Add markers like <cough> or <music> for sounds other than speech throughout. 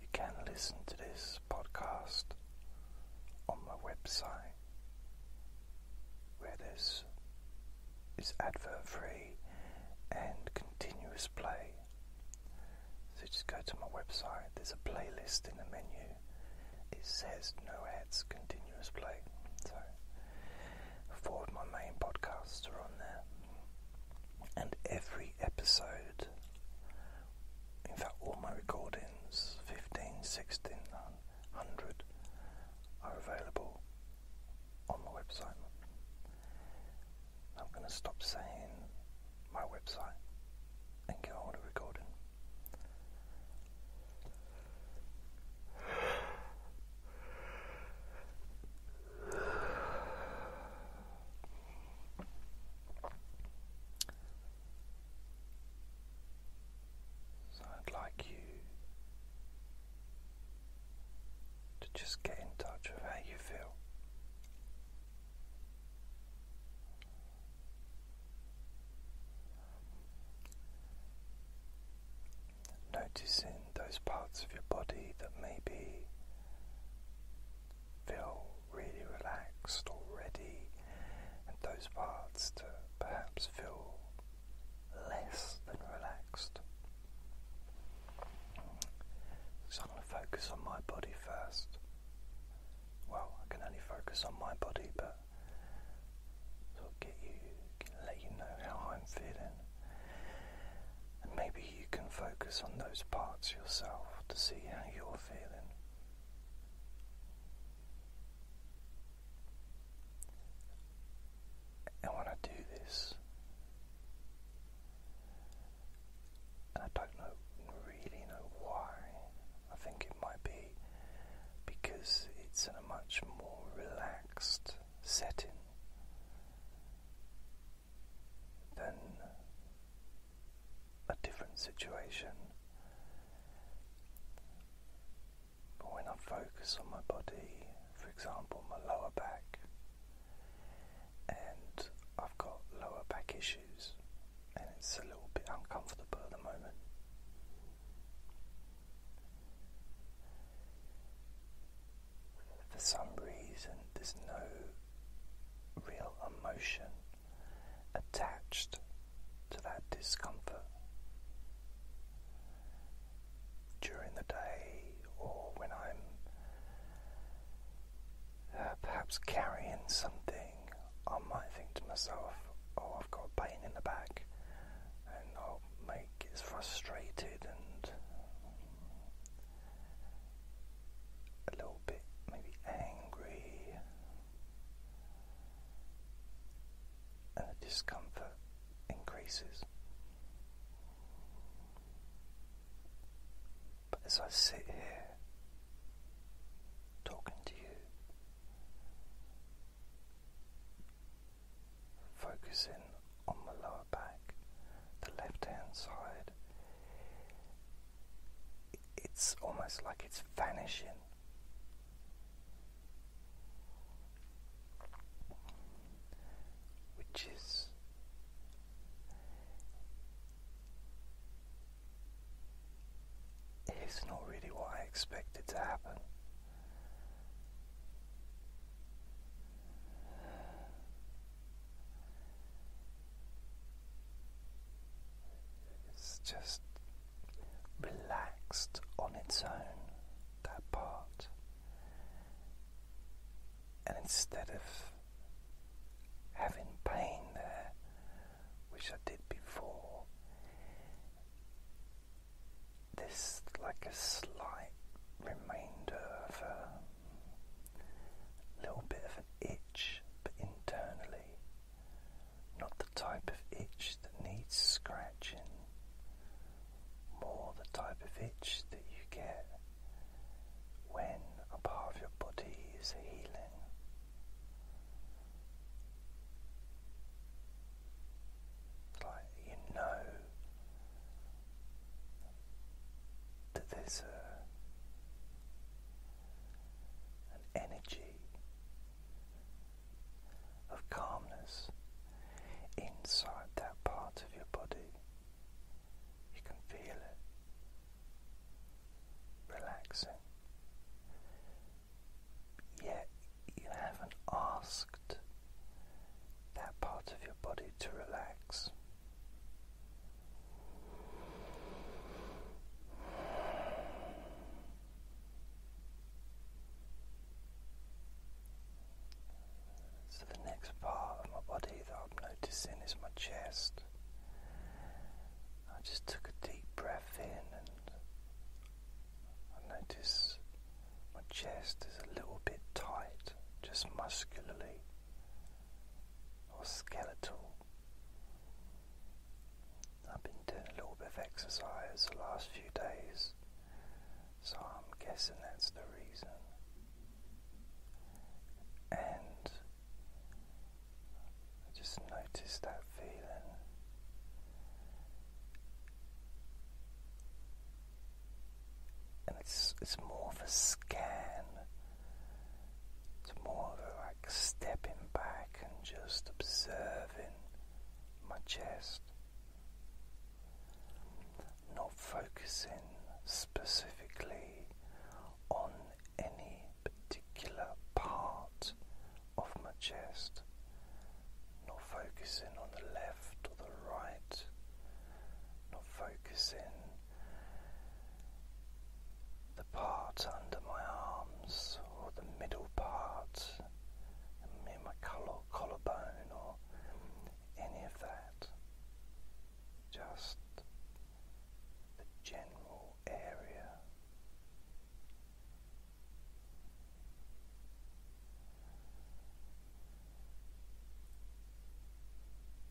You can listen to this podcast on my website where this is advert free and continuous play. So just go to my website, there's a playlist in the menu. It says no ads, continuous play. So Four of my main podcasts are on there. And every episode, in fact, all my recordings 15, 16, 100 are available on my website. I'm going to stop saying my website and go on to recording. So I'd like you to just get in touch with how you feel. Noticing those parts of your body that maybe feel really relaxed already, and those parts to perhaps feel less than relaxed. So I'm going to focus on my body first. Well, I can only focus on my body, but it'll get you let you know how I'm feeling. And maybe you can focus on those parts yourself to see how you're feeling. And when I do this, and I don't know really know why, I think it might be because it's in a much more relaxed setting, then a different situation. But when I focus on my body, for example, my lower back, and I've got lower back issues, and it's a little bit uncomfortable at the moment. For some reason, there's no real emotion attached to that discomfort during the day or when I'm uh, perhaps carrying something. I might think to myself, oh, I've got a pain in the back, and I'll make gets frustrated and a little bit maybe angry and the discomfort increases. But as I sit here talking to you, focusing on the lower back, the left hand side. It's almost like it's vanishing. Which is it's not really what I expected to happen. It's just relaxed on its own, that part. And instead of having pain there, which I did before, this like a slight remainder of a little bit of an itch, internally, not the type of itch that needs scratching, more the type of itch that you get when a part of your body is healing like you know that there's an energy of calmness inside that part of your body. You can feel it relaxing. Yet you haven't asked that part of your body to relax. So, the next part of my body that I'm noticing is my chest. I just took a deep breath in and I notice my chest is a little bit tight, just muscularly or skeletal. I've been doing a little bit of exercise the last few days, so I'm guessing that's the reason. And I just noticed that feeling and it's it's more of a scan. It's more of a like stepping back and just observing my chest, not focusing specifically on any particular part of my chest, not focusing on the left or the right, not focusing the part under my arms or the middle part in my collarbone or any of that. Just the general area.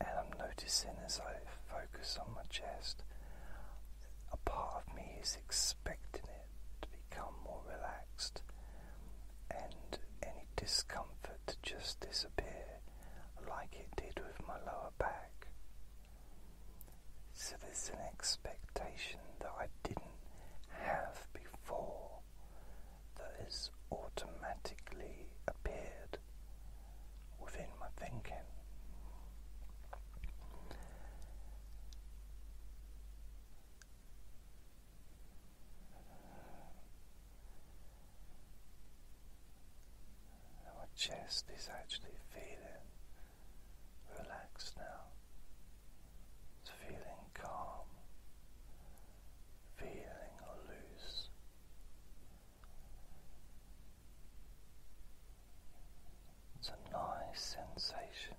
And I'm noticing as I focus on my chest, a part of me is expecting it to become more relaxed and any discomfort to just disappear like it did with my lower back. So there's an expectation that I didn't have before that automatically appeared within my thinking. my chest is actually feeling relaxed now. It's feeling calm feeling loose. It's a nice sensation.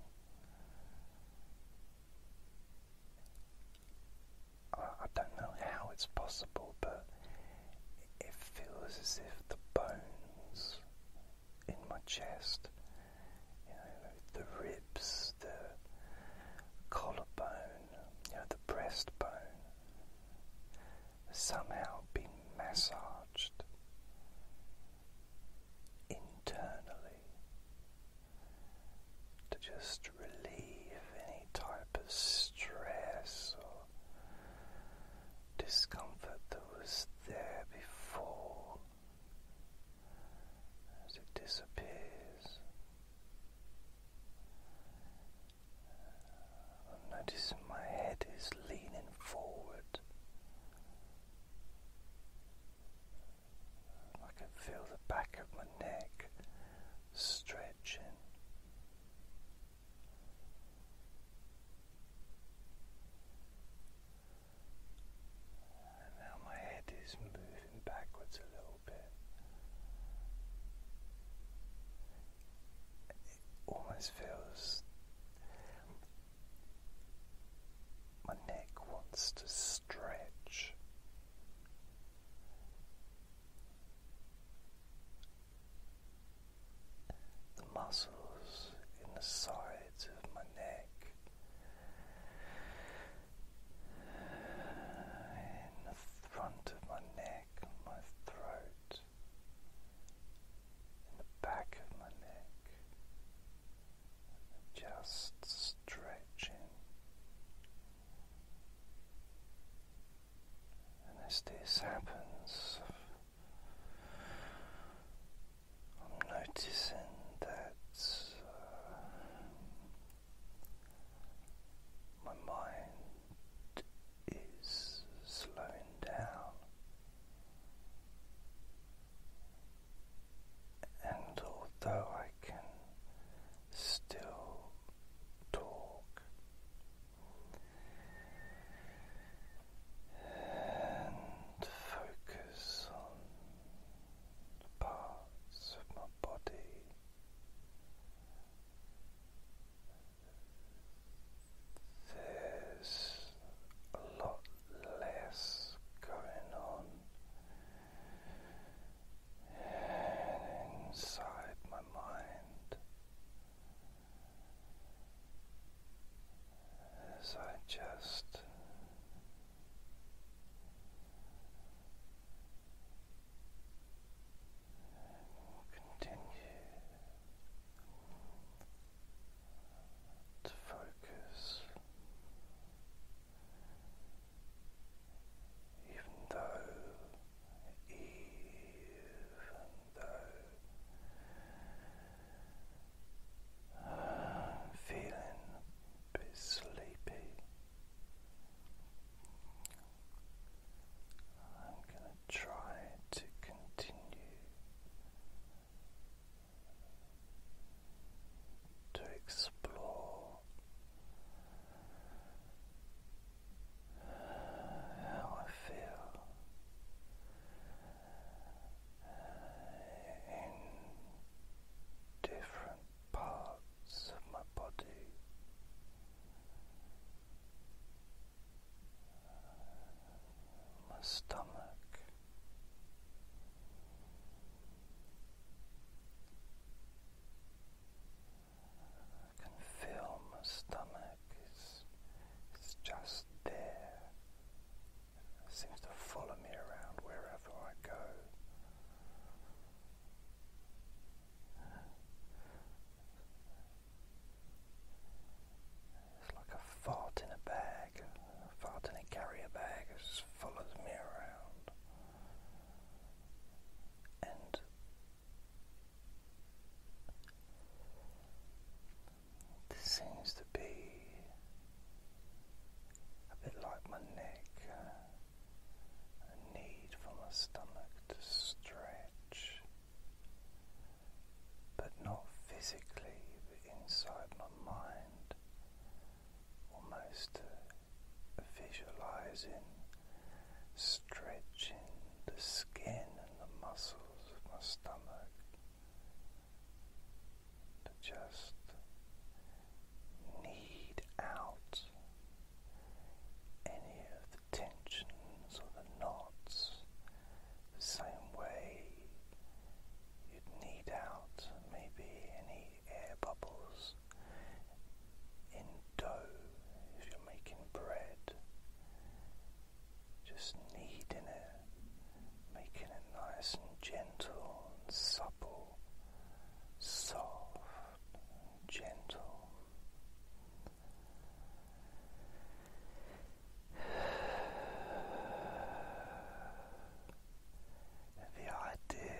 I, don't know how it's possible, but it feels as if the bones in my chest, the ribs, the collarbone, you know, the breastbone, somehow been massaged internally to just relieve any type of stress or discomfort that was there before as it disappears. I notice my head is leaning forward. I can feel the back of my neck stretching. And now my head is moving backwards a little it almost feels my neck wants to stretch. The muscles in the sides of my neck in the front of my neck, my throat, in the back of my neck, just stretching. And as this happens, I'm noticing that uh, my mind is slowing down, and although I can still talk, and focus on the parts of my body there's a lot less going on inside my mind as I just will continue to focus even though even though I'm feeling a bit sleepy I'm going to try to continue to explore how I feel in different parts of my body. My stomach, I can feel my stomach it's just there. seems to follow me around wherever I go. It's like a fart in a bag, a fart in a carrier bag, it follows me around. And this seems to be a bit like my neck a need for my stomach to stretch, but not physically, but inside my mind, almost visualizing stretching the skin and the muscles of my stomach to just need out any of the tensions or the knots the same way you'd need out maybe any air bubbles in dough if you're making bread. Just kneading it, making it nice and gentle and supple, soft gentle. the idea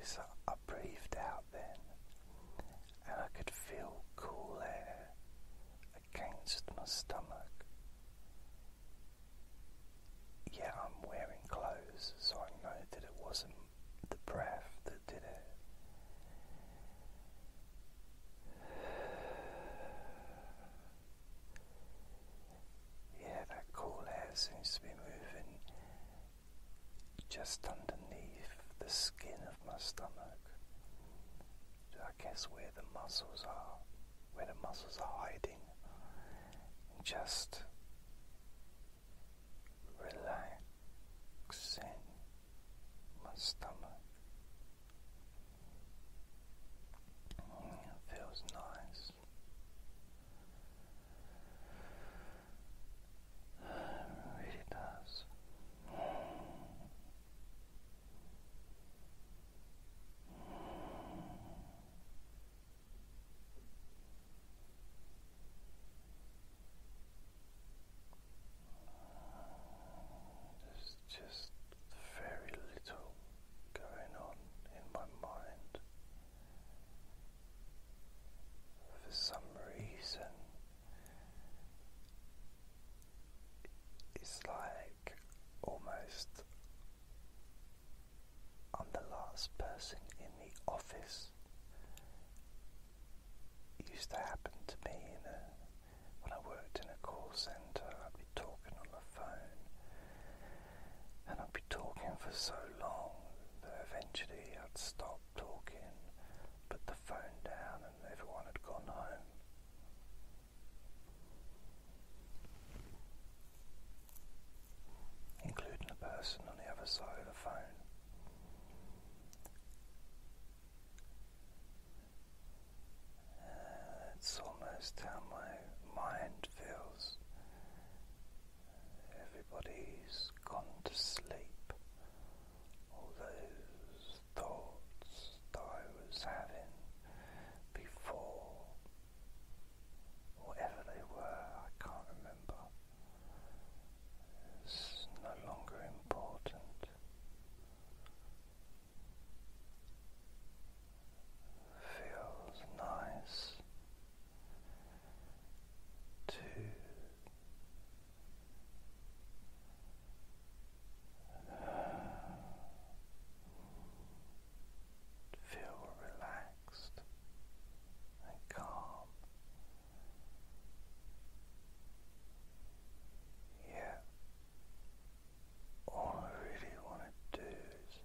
is that I breathed out then, and I could feel cool air against my stomach. Yeah, I'm wearing clothes, so I know that it wasn't the breath that did it. Yeah, that cool air seems to be moving just underneath the skin of my stomach. I guess where the muscles are, where the muscles are hiding, just relaxing my stomach. It feels nice. really does. There's just very little going on in my mind. For some reason, it's like almost I'm the last person in the office. used to happen to me in a, when I worked in a call centre. I'd be talking on the phone, and I'd be talking for so long that eventually I'd stop talking, put the phone down, and everyone had gone home including the person on the other side of the phone. it's uh, almost how my mind feels. Everybody's gone to sleep. All those thoughts I was having before, whatever they were, I can't remember. It's no longer important. Feels nice to feel relaxed and calm. Yeah, all I really want to do is.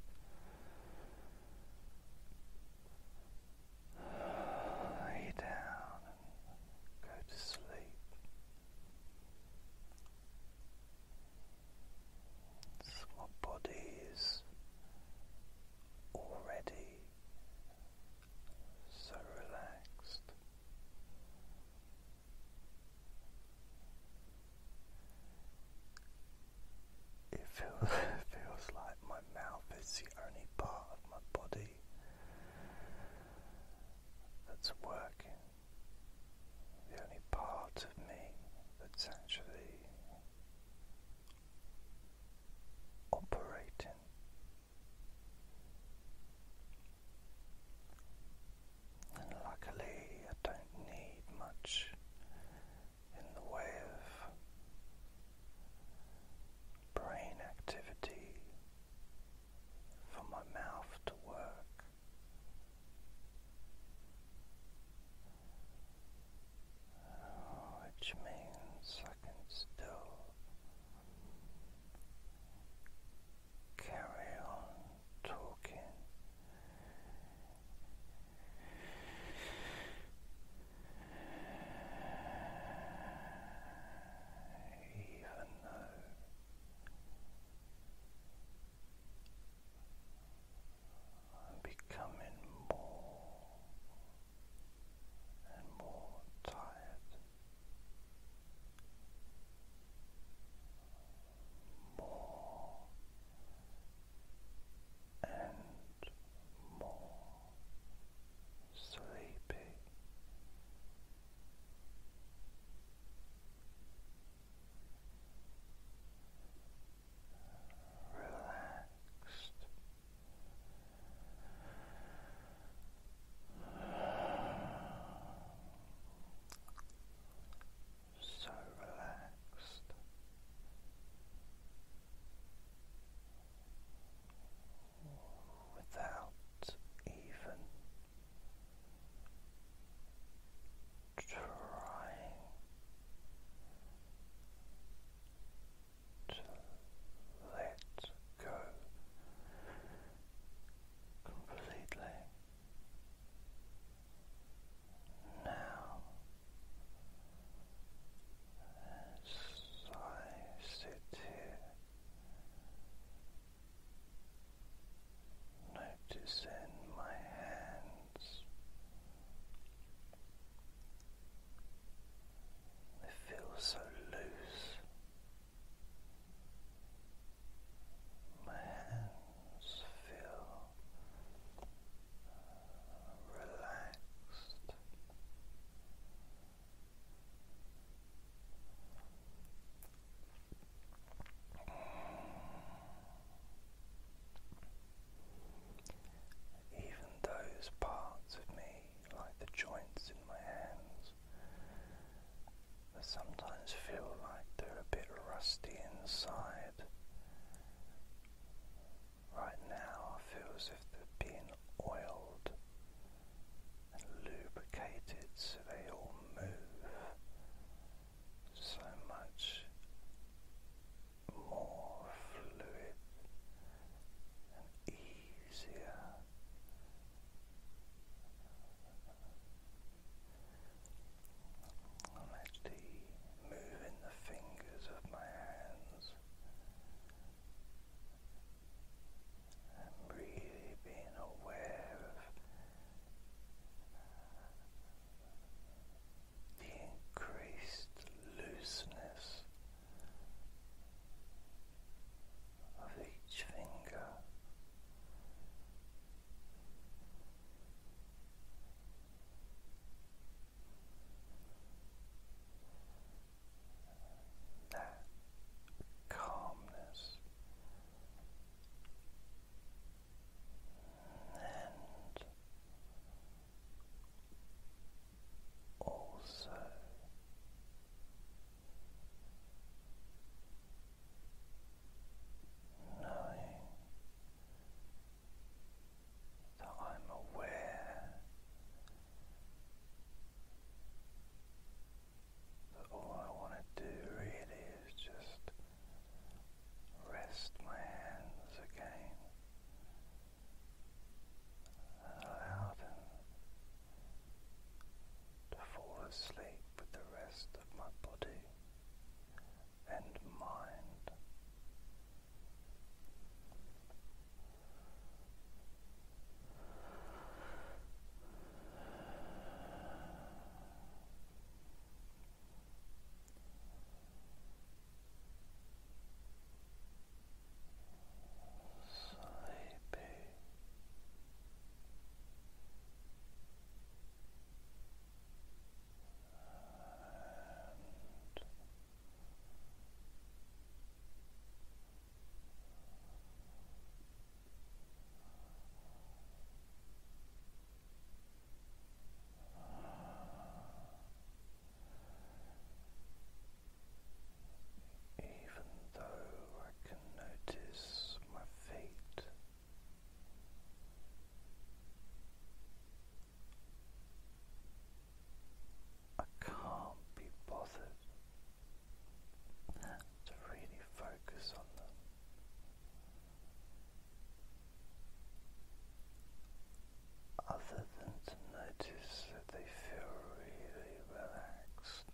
Lay down and go to sleep. my body is already so relaxed. It feels, <laughs> feels like my mouth is the only part of my body that's working, the only part of me that's actually operating. And luckily, I don't need much in the way of brain activity for my mouth to work which means I can still carry on talking. Even though I'm becoming more and more tired, more and more sleepy relaxed. So relaxed. Without even trying let go completely. Now, as I sit here, noticing my hands I feel so loose. My hands feel relaxed. Even those parts of me, like the joints in my hands, sometimes feel like they're a bit rusty inside. Right now, I feel as if they're being oiled and lubricated so they all move so much more fluid and easier. I'm actually moving the fingers of my hands and really being aware of the increased looseness of each finger. That calmness and also knowing that I'm aware that all I want to do really is just rest my hands again and to fall asleep with the rest of my body and mind sleepy. And even though I can notice my feet. I can't be bothered to really focus on them other than to notice that they feel really relaxed.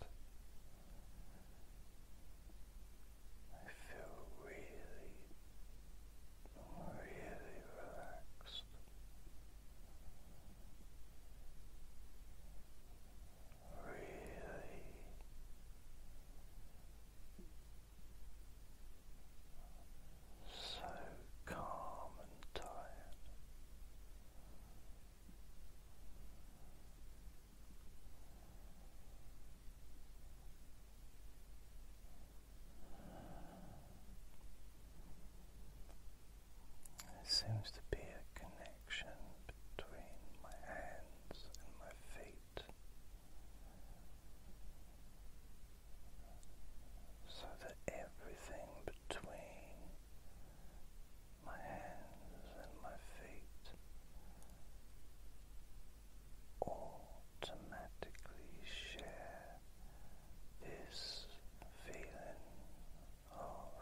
I feel really, really relaxed. Really so calm and tired. There seems to be a connection between my hands and my feet, so that everything between my hands and my feet automatically share this feeling of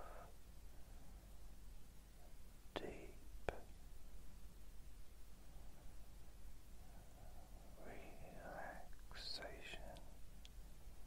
deep relaxation.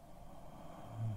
Sleepiness.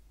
Sleepiness.